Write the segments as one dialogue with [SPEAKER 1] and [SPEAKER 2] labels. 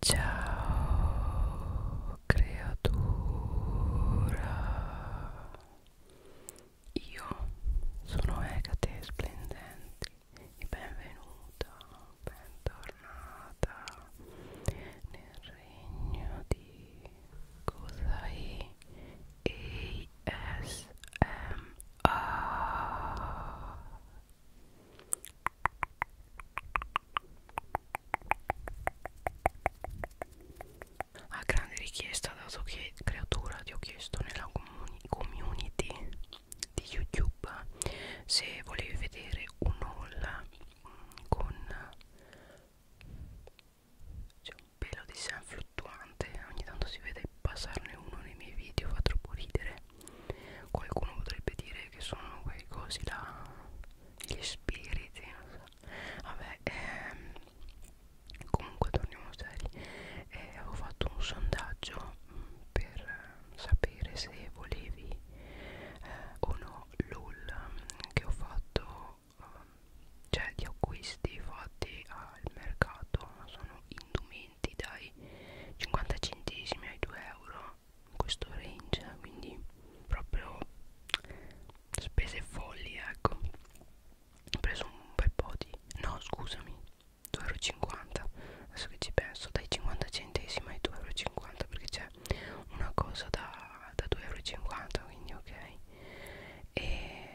[SPEAKER 1] Ciao creatura, io sono Egate Splendenti e benvenuta, bentornata nel regno di Cosai ASMR a grande richiesta dato che creatura ti ho chiesto nella comuni community di youtube se volevi vedere un haul mm, con c'è un pelo di sen fluttuante ogni tanto si vede passarne uno nei miei video fa troppo ridere Qualcuno potrebbe dire che sono quei cosi là, gli spiriti, non so. Vabbè, ehm, comunque torniamo seri. Eh, avevo fatto un sondaggio mm, per sapere se volevi eh, o no l'haul mm, che ho fatto, eh, cioè di acquisti fatti al mercato, sono indumenti dai 50 centesimi ai 2 euro in questo range quindi proprio spese folli ecco ho preso un bel po' di no scusami 2,50€ adesso che ci penso dai 50 centesimi ai 2,50€ perché c'è una cosa da, da 2,50€ quindi ok e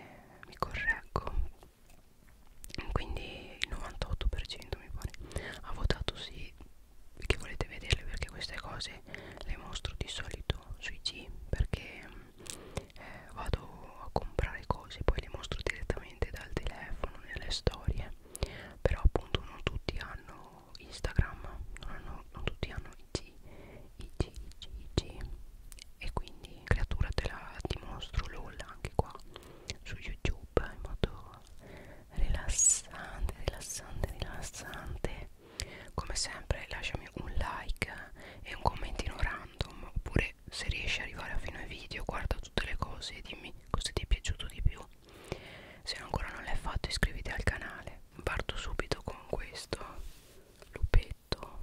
[SPEAKER 1] mi correggo quindi il 98% mi pare ha votato sì che volete vederle perché queste cose le mostro di solito sui G perché eh, vado a comprare cose poi le mostro direttamente dal telefono nelle storie però appunto non tutti hanno Instagram non, hanno, non tutti hanno IG IG IG IG e quindi creatura te la dimostro LOL anche qua su YouTube in modo rilassante rilassante rilassante come sempre lasciami un like e un commentino random oppure se riesci a arrivare fino ai video guarda tutte le cose e dimmi cosa ti è piaciuto di più se ancora non l'hai fatto iscriviti al canale parto subito con questo lupetto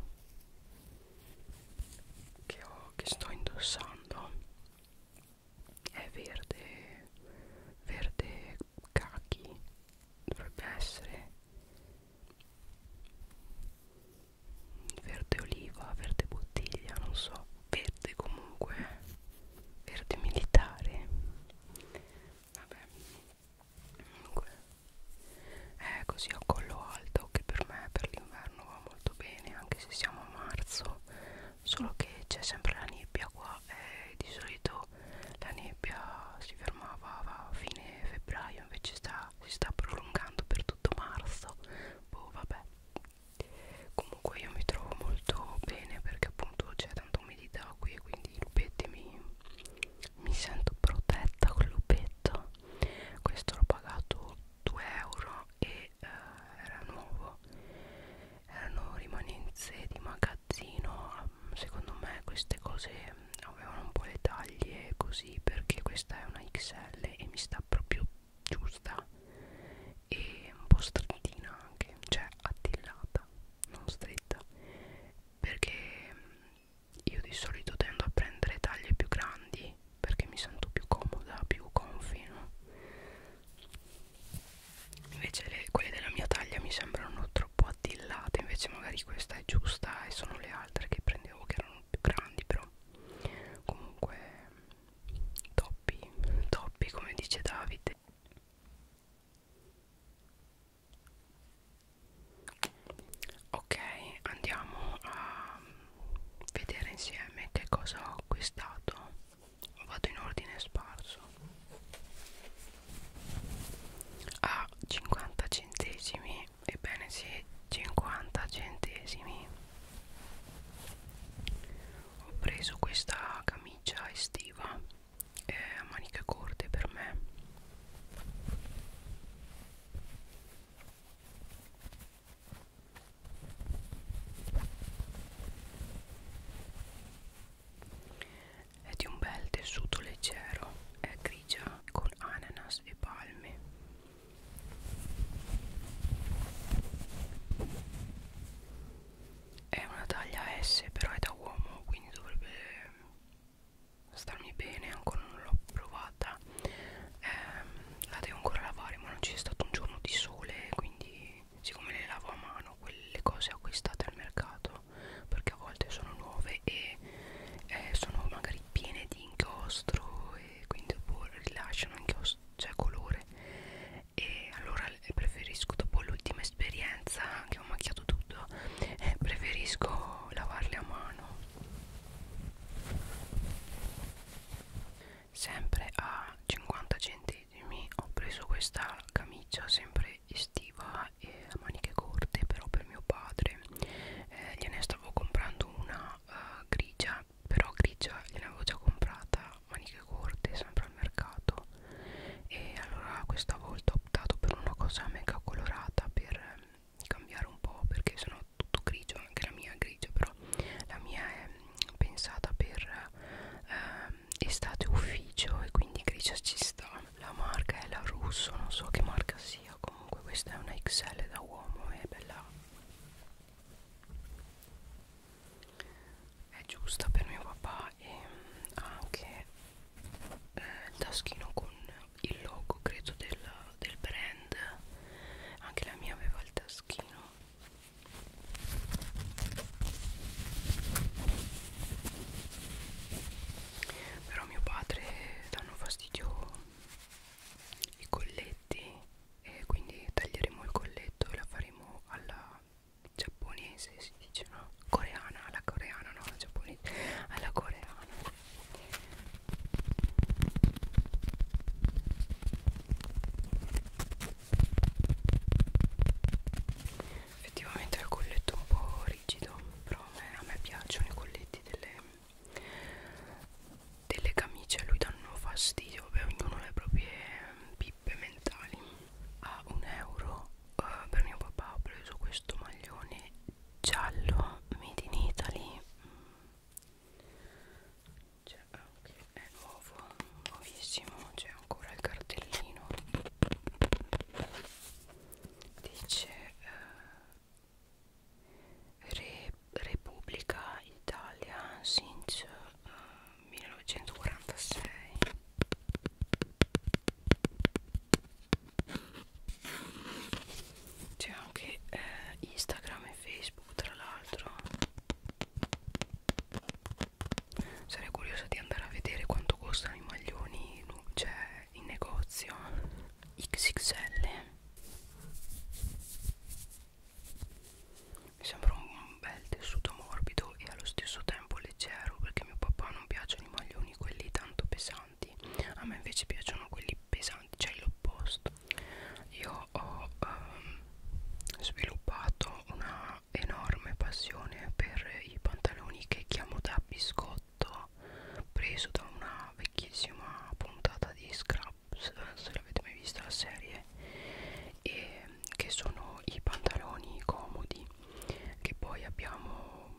[SPEAKER 1] che, ho, che sto indossando è verde verde cachi dovrebbe essere verde oliva verde bottiglia non so verde comunque verde militare vabbè comunque è così a collo alto che per me per l'inverno va molto bene anche se siamo a marzo solo che c'è sempre la nebbia qua e di solito la nebbia si fermava a fine febbraio invece sta, si sta prolungando per tutto marzo boh vabbè comunque io mi trovo molto bene perché appunto c'è tanta umidità qui e quindi i lupetti mi, mi sento protetta col lupetto questo l'ho pagato 2 euro e che eh, era nuovo erano rimanenze di magazzino ehm, secondo me queste cose avevano un po' le taglie così perché questa è una XL e mi sta proprio giusta e un po' strettina anche cioè attillata non stretta perché mm, io di solito tendo a prendere taglie più grandi perché mi sento più comoda più confino invece le, quelle della mia taglia mi sembrano troppo attillate invece magari questa è giusta e sono le altre che prendevo che erano più grandi però comunque toppi toppi come dice Davide ok andiamo a vedere insieme che cosa ho acquistato vado in ordine sparso a 50 centesimi ebbene sì 50 centesimi ho preso questa camicia estiva eh, a maniche corte per me è di un bel tessuto leggero, è grigia con ananas e palme. È una taglia S, però è da uomo, quindi dovrebbe starmi bene, ancora non l'ho provata. Eh, la devo ancora lavare, ma non c'è stato un giorno di sole, quindi siccome le lavo a mano quelle cose acquistate al mercato perché a volte sono nuove e eh, sono magari piene di inchiostro e quindi dopo boh, rilasciano inchiostro cioè colore e allora preferisco dopo l'ultima esperienza che ho macchiato tutto eh, preferisco lavarle a mano sempre a 50 centesimi ho preso questa camicia sempre estiva e a maniche corte però per mio padre eh, gliene stavo comprando una uh, grigia però grigia gliene avevo già comprata maniche corte sempre al mercato e allora questa volta ho optato per una cosa mega colorata per eh, cambiare un po' perché sennò tutto grigio anche la mia è grigia però la mia è mm, pensata per eh, estate ufficio e quindi grigia ci sta la marca è la russo non so che marca sia comunque questa è una XL da uomo è bella è giusta per mio papà e ha anche eh, il taschino con il logo credo del, del brand anche la mia aveva il taschino però mio padre danno fastidio i colletti e quindi taglieremo il colletto e la faremo alla giapponese si dice no coreana alla coreana no alla giapponese alla coreana effettivamente è il colletto un po' rigido però a me, a me piacciono i colletti delle, delle camicie a lui danno fastidio beh ognuno ha le proprie pippe mentali a un euro uh, per mio papà ho preso questo maglione giallo made in Italy mm. cioè, che è nuovo nuovissimo c'è ancora il cartellino dice eh, Re, Repubblica Italia since eh, 1946 c'è anche eh, Instagram e Facebook tra l'altro sarei curiosa di andare a vedere quanto costano i maglioni cioè in negozio XXL mi sembra un bel tessuto morbido e allo stesso tempo leggero perché a mio papà non piacciono i maglioni quelli tanto pesanti a me invece piacciono quelli pesanti cioè l'opposto io ho um, sviluppato una una enorme passione per i pantaloni che chiamo da biscotto preso da una vecchissima puntata di Scraps se l'avete mai vista la serie e che sono i pantaloni comodi che poi abbiamo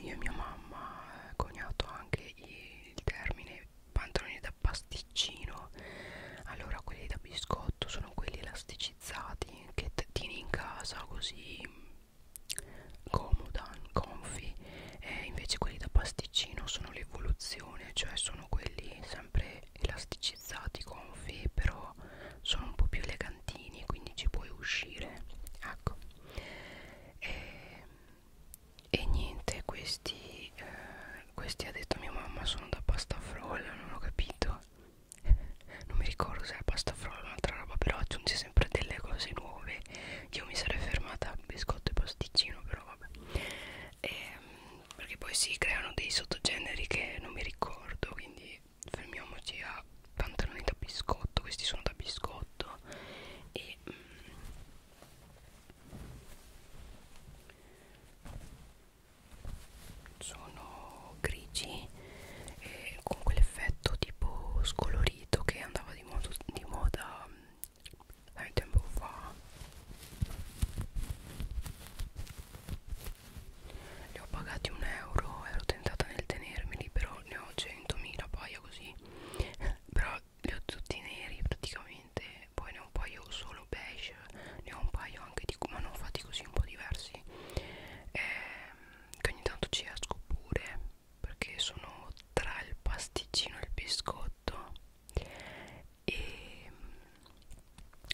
[SPEAKER 1] io e mia mamma eh, coniato anche il termine pantaloni da pasticcino allora quelli da biscotto sono quelli elastici elettricizzati che tieni in casa così mm, comoda, comfy e invece quelli da pasticcino sono l'evoluzione cioè sono quelli sempre elasticizzati, comfy però sono un po' più elegantini quindi ci puoi uscire ecco e, e niente questi, eh, questi ha detto mia mamma sono da pasta frolla non ho capito non mi ricordo se è pasta frolla o un'altra roba però aggiungi sempre delle cose nuove io mi sarei fermata a biscotto e pasticcino però vabbè e, ehm, perché poi si creano dei sottogeneri che non mi ricordo quindi fermiamoci a pantaloni da biscotto questi sono da biscotto e mm, sono grigi e con quell'effetto tipo scolorito che andava di, modo, di moda mm, un tempo fa li ho pagati un euro ero tentata nel tenermeli però ne ho 100.000 paia così però li ho tutti neri praticamente poi ne ho un paio solo quello beige ne ho un paio anche di ma non fatti così un po' diversi ehm, che ogni tanto ci esco pure perché sono tra il pasticcino e il biscotto ehm, e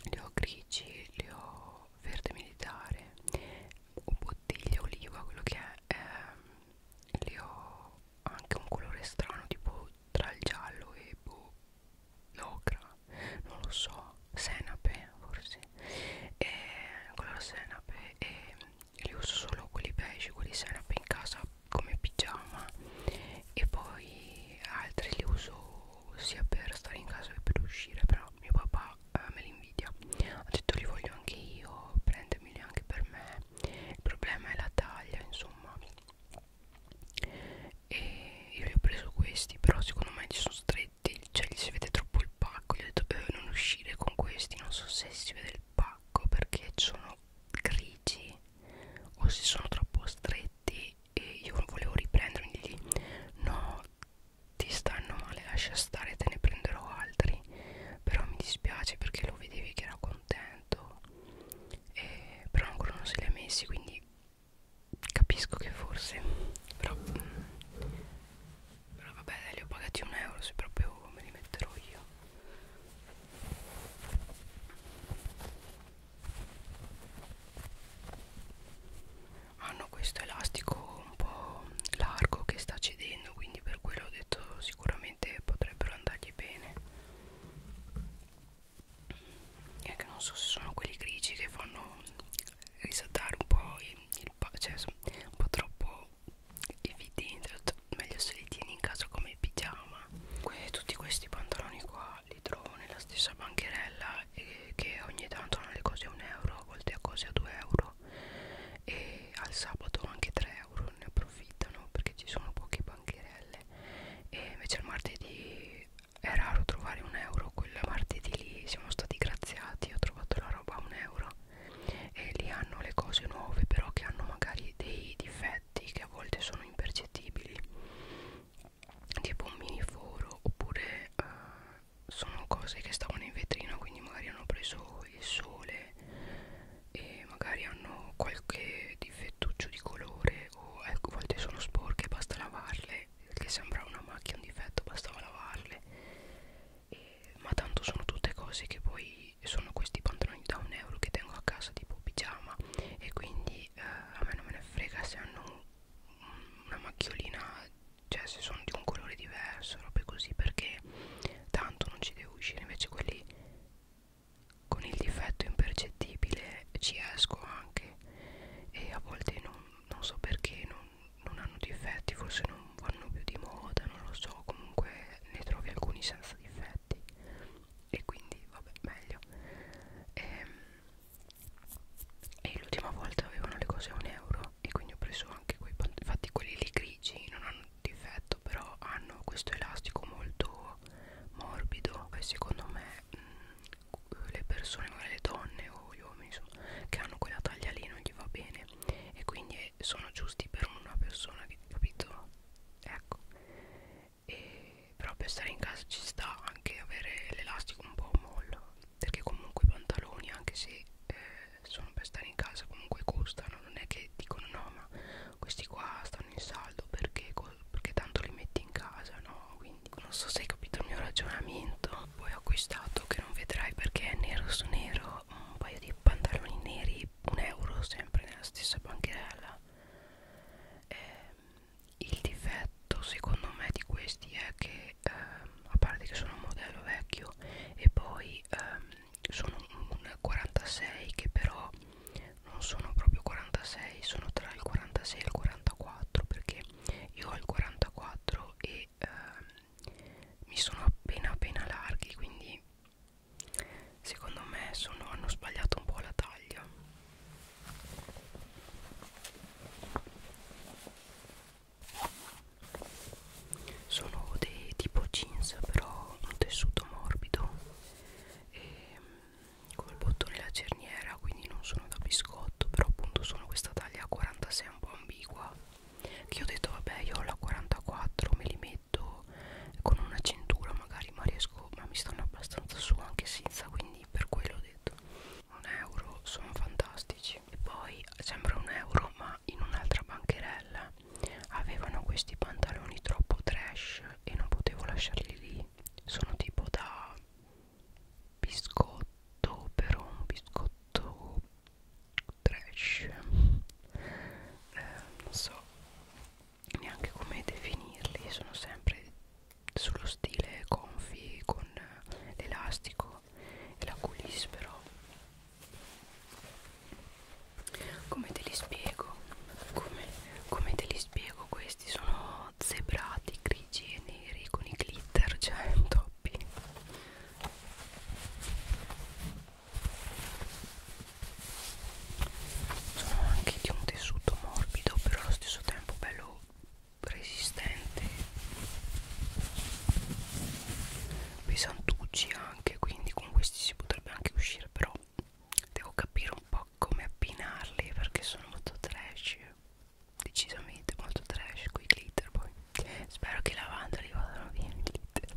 [SPEAKER 1] li ho grigi li ho verde militare o bottiglia oliva quello che è ehm, li ho anche un colore strano tipo tra il giallo e boh, l'ocra non lo so senape forse e color senape e li uso solo quelli beige quelli senape in casa come pigiama e poi altri li uso sia per stare in casa che per uscire però mio papà eh, me li invidia ha detto li voglio anche io prendemeli anche per me il problema è la taglia insomma e io li ho preso questi però secondo me ci sono stretti cioè gli si vede troppo il pacco gli ho detto eh, non uscire con questi non so se si vede il pacco perché sono grigi o se sono troppo stretti e io non volevo riprendere quindi no ti stanno male lascia stare te ne prenderò altri però mi dispiace perché lo vedevi che era contento e però ancora non se li ha messi quindi capisco che forse però però vabbè dai, li ho pagati un euro se proprio me li metterò io hanno ah, questo elastico un po' largo che sta cedendo quindi per quello ho detto sicuramente potrebbero andargli bene è che non so se sono quelli grigi che fanno risaltare un po' il, il cioè un po' troppo evidente meglio se li tieni in casa come pigiama que tutti questi pantaloni qua li trovo nella stessa bancherella e che ogni tanto hanno le cose a un euro a volte a cose a 2 euro e al sabato anche 3 euro ne approfittano perché ci sono poche bancherelle e invece il martedì è raro trovare un euro quel martedì lì siamo stati graziati ho trovato la roba a un euro e lì hanno le cose nuove però che hanno magari dei difetti che a volte sono impercettibili tipo un miniforo oppure uh, sono cose che stavano in vetrina quindi magari hanno preso il sole e magari hanno qualche difettuccio di colore o ecco, a volte sono sporche basta lavarle perché sembrava una macchia un difetto bastava lavarle e, ma tanto sono tutte cose che poi sono questi pantaloni da un euro che tengo a casa tipo pigiama e quindi eh, a me non me ne frega se hanno una macchiolina cioè se sono di un colore diverso robe così perché tanto non ci devo uscire invece quelli con il difetto impercettibile ci esco anche e a volte non, non so perché non, non hanno difetti forse non vanno più di moda non lo so comunque ne trovi alcuni senza difetti e quindi vabbè meglio e, ehm, e l'ultima volta avevano le cose a un euro e quindi ho preso anche quei pantaloni infatti quelli lì grigi non hanno difetto però hanno questo elastico molto morbido che secondo me mh, mm, le persone, magari le donne o gli uomini insomma, che hanno quella taglia lì non gli va bene e quindi eh, sono giusti per una persona che capito ecco e, però per stare in casa ci sta anche avere l'elastico un po' mollo perché comunque i pantaloni anche se eh, sono per stare in casa comunque costano non è che dicono no ma questi qua stanno in saldo perché, perché tanto li metti in casa no quindi quindi non so se hai capito il mio ragionamento poi ho acquistato che non vedrai perché è nero su nero un paio di pantaloni neri un euro sempre nella stessa bancherella eh, il difetto secondo me di questi è che ehm, a parte che sono un modello vecchio e poi ehm, sono un 46 che però non sono proprio 46 sono tra il 46 e il 44 perché io ho il 44 e ehm, mi sono appena appena larghi quindi secondo me sono, hanno sbagliato un po' la taglia sono dei tipo jeans però un tessuto morbido e ehm, come il bottone e la cerniera quindi non sono da biscotto però appunto sono questa taglia 46 un po' ambigua che ho detto vabbè io ho la 44 me li metto con una cintura magari ma riesco ma mi stanno abbastanza su anche senza quindi per quello ho detto un euro sono fantastici e poi sembra un euro ma in un'altra bancherella avevano questi pantaloni troppo trash e non potevo lasciarli lì sono tipo da biscotto però un biscotto trash eh, non so neanche come definirli sono sempre sullo stile confi con l'elastico e la coulisse però come te li spiego come, come te li spiego questi questi sono zebrati grigi e neri con i glitter cioè toppi sono anche di un tessuto morbido però allo stesso tempo bello resistente pesantucci anche quindi con questi si potrebbe anche uscire però devo capire un po' come abbinarli perché sono molto trash decisamente molto trash con i glitter poi spero che lavando li vadano via i glitter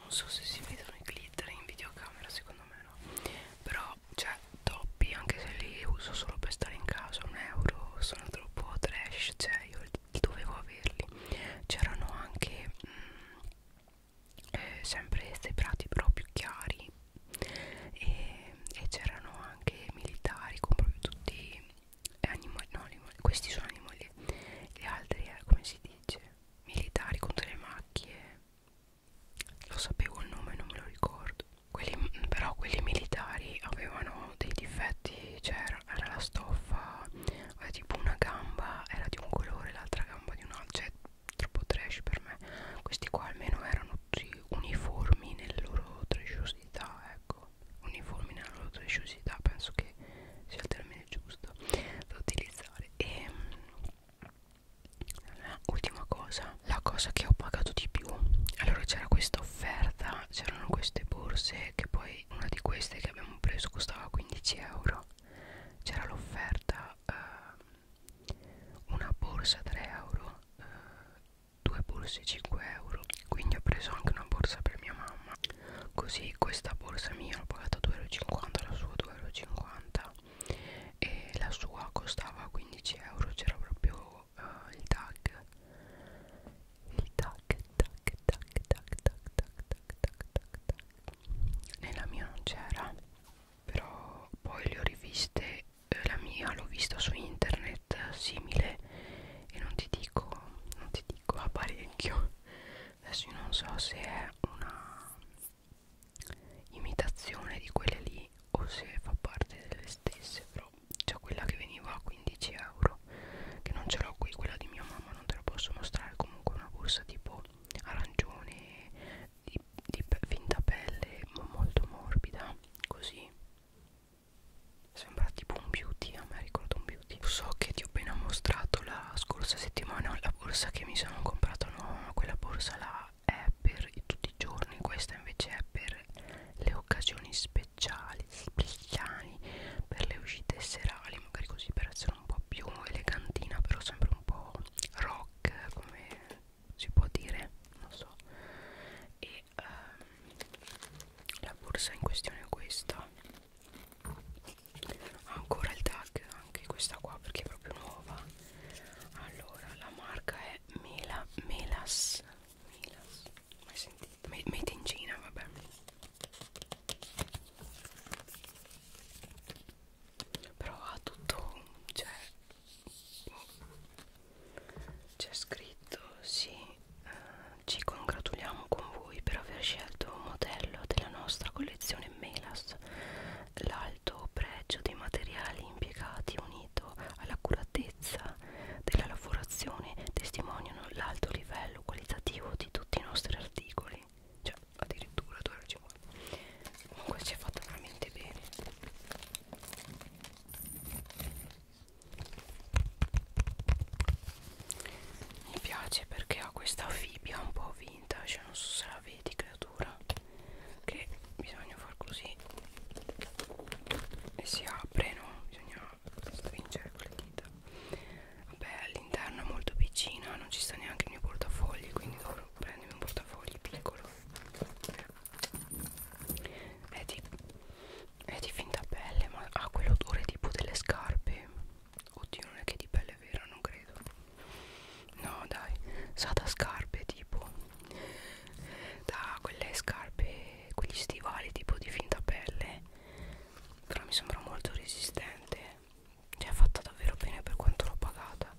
[SPEAKER 1] non so se si vedono i glitter in videocamera secondo me no però cioè toppi anche se li uso solo per stare in casa un euro sono troppo trash cioè io dovevo averli c'erano anche mh, mm, eh, sempre questi prati proprio chiari e, e c'erano anche militari con proprio tutti animali no animali questi sono animali gli altri eh, come si dice militari con delle macchie lo sapevo il nome non me lo ricordo quelli, però quelli militari avevano dei difetti cioè era, era la stoffa era tipo una gamba era di un colore l'altra gamba di un altro cioè troppo trash per me questi qua almeno erano uniformi nella loro trasciosità ecco uniformi nella loro trasciosità penso che sia il termine giusto da utilizzare e ehm, l'ultima cosa la cosa che ho pagato di più allora c'era questa offerta c'erano queste borse che poi una di queste che abbiamo preso costava 15 euro c'era l'offerta eh, una borsa 3 euro eh, due borse 5 euro quindi ho preso anche una borsa per mia mamma così questa borsa mia l'ho pagata 2,50 euro la sua 2,50 euro e la sua costava 15 euro c'era proprio uh, il tag il tag tag tag tag tag tag tag tag tag tag nella mia non c'era però poi le ho riviste eh, la mia l'ho vista su internet simile e non ti dico non ti dico a parecchio adesso io non so se è una imitazione di quelle lì o se fa parte delle stesse però c'è quella che veniva a 15 euro che non ce l'ho qui quella di mia mamma non te la posso mostrare comunque una borsa tipo arancione di, di pe finta pelle ma molto morbida così sembra tipo un beauty a me ricordo un beauty so che ti ho appena mostrato la scorsa settimana la borsa che mi sono comprato no quella borsa là è per tutti di giorno e questa invece è per le occasioni speciali speciali per le uscite serali magari così per essere un po' più elegantina però sempre un po' rock come si può dire non so e um, la borsa in questione è questa ancora il tag anche questa qua perché è proprio nuova allora la marca è Mela Melas Milas, mai sentito? Made in Cina, vabbè. Però ha tutto, cioè, c'è scritto, sì, uh, ci congratuliamo con voi per aver scelto un modello della nostra collezione Melas. L'alto pregio dei materiali impiegati unisce finito, all'accuratezza della lavorazione testimoniano l'alto livello qualitativo di tutti i nostri articoli. Cioè, addirittura 2,50 Comunque si è fatta veramente bene. Mi piace perché ha questa fibbia un po' vintage, non so se la vedi creatura, che bisogna far così e si apre no bisogna stringere con le dita vabbè all'interno è molto piccina non ci sta neanche il mio portafogli quindi dovrò prendermi un portafogli piccolo è di, è di finta pelle ma ha ah, quell'odore tipo delle scarpe oddio non è che è di pelle vera non credo no dai sa da scarpe tipo da quelle scarpe quegli stivali tipo di finta pelle però mi sembra molto resistente cioè è fatta davvero bene per quanto l'ho pagata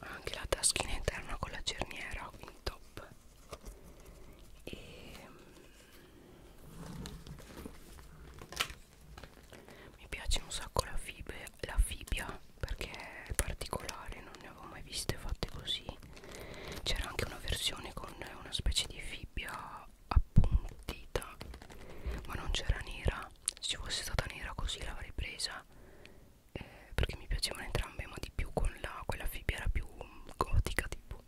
[SPEAKER 1] anche la taschina interna con la cerniera quindi top e mm, mi piace un sacco la, fibe, la fibbia perché è particolare non ne avevo mai viste fatte così c'era anche una versione con una specie di fibbia appuntita ma non c'era nera se ci fosse stata nera così l'avrei presa eh, perché mi piacevano entrambe ma di più con la, quella fibbia era più gotica tipo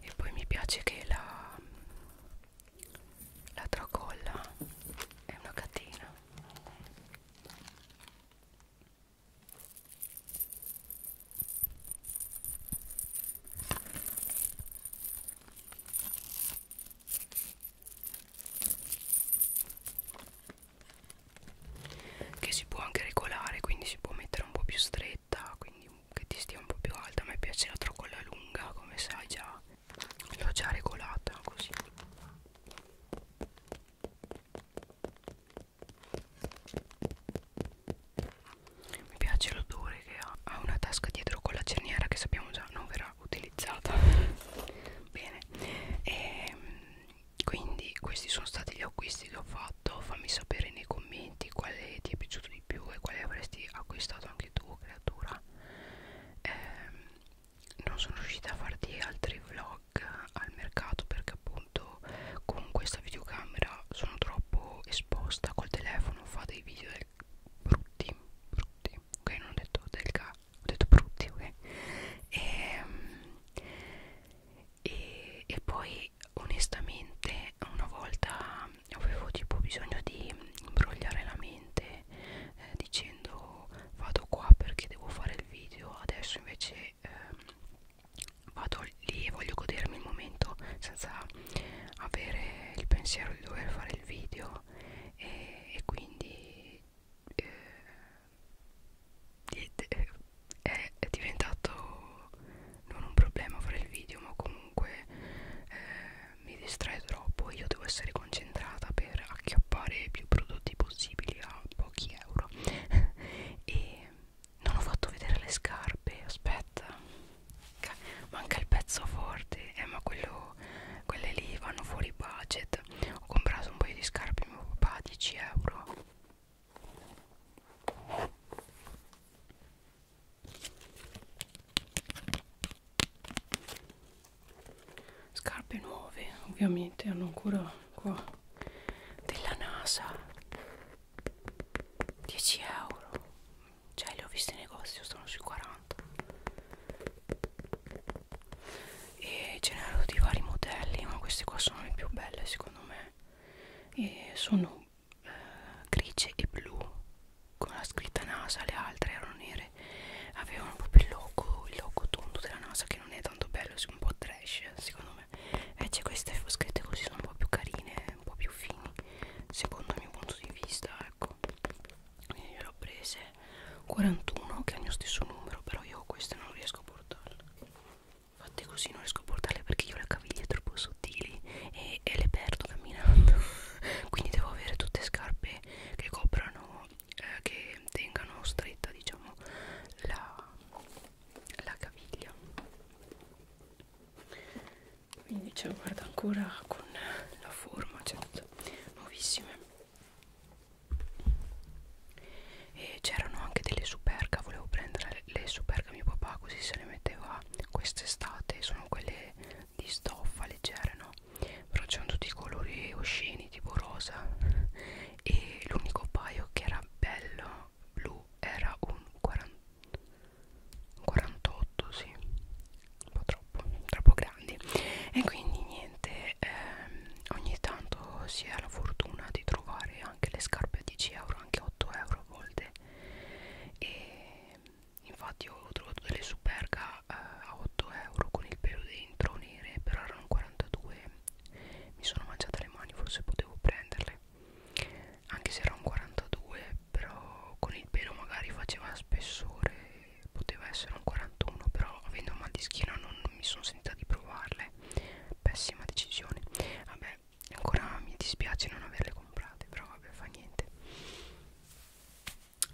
[SPEAKER 1] e poi mi piace che la la tracolla è una catena che si può anche regolare quindi si può mettere un po' più stretta quindi che ti stia un po' più alta a me piace la tracolla lunga come sai già l'ho già regolata così mi piace l'odore che ha ha una tasca dietro con la cerniera che sappiamo già non verrà utilizzata bene e, ehm, quindi questi sono stati gli acquisti che ho fatto fammi sapere nei commenti quale ti è piaciuto di più e quale avresti acquistato anche tu creatura eh, non sono riuscita a farti altri vlog pack al mercato perché appunto con questa videocamera sono troppo esposta col telefono fa dei video del brutti brutti ok non ho detto del ca ho detto brutti ok e, ehm, e, e poi onestamente una volta avevo tipo bisogno di imbrogliare la mente eh, dicendo vado qua perché devo fare fare il video adesso invece ehm, vado lì e voglio godermi il momento senza avere il pensiero di dover fare il video e, e quindi eh, è, è diventato non un problema fare il video ma comunque eh, mi distrae troppo io devo essere concentrata per acchiappare più prodotti possibili a pochi di euro e non ho fatto vedere le scarpe aspetta manca il pezzo forte eh, ma quello, quelle lì vanno fuori budget ho comprato un paio di scarpe mio papà 10 euro scarpe nuove ovviamente hanno ancora qua della NASA 10 euro cioè le ho viste in negozio sono sui 40 e ce n'erano di vari modelli ma queste qua sono le più belle secondo me e sono eh, grigie e blu con la scritta NASA le altre erano nere avevano proprio il logo il logo tondo della NASA che non non è tanto bello, è un po' trash secondo me invece eh, queste foschette così sono un po' più carine, un po' più fini secondo il mio punto di vista ecco quindi io le ho prese 41 che è il mio stesso numero però io queste non riesco a portarle fatte così non riesco a portarle perché io le caviglie troppo sottili e, e le perdo camminando quindi devo avere tutte scarpe che coprano eh, che tengano stretta diciamo la, la caviglia quindi ce la guarda ancora con la forma certo nuovissime e c'erano anche delle superga volevo prendere le superga mio papà così se le metteva quest'estate sono quelle di stoffa leggere no però c'erano tutti i colori osceni tipo rosa e l'unico paio che era bello blu era un 40, 48 sì un po' troppo troppo grandi e quindi niente ehm, ogni tanto si ha la fortuna di trovare anche le scarpe a 10 euro anche 8 euro a volte e infatti ho trovato delle superga eh, a 8 euro con il pelo dentro nere però erano 42 mi sono mangiata le mani forse potevo prenderle anche se era un 42 però con il pelo magari faceva spessore poteva essere un 41 però avendo mal di schiena non, non mi sono sentita di provarle pessima decisione vabbè ancora mi dispiace non averle comprate però vabbè fa niente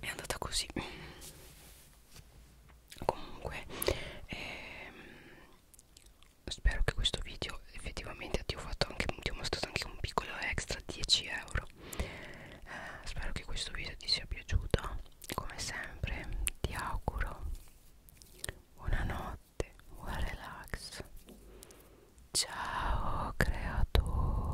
[SPEAKER 1] è andata così comunque ehm, spero che questo video effettivamente ti ho fatto anche ti ho mostrato anche un piccolo extra 10 euro eh, spero che questo video ti sia piaciuto come sempre ti auguro buonanotte buon relax ciao creatura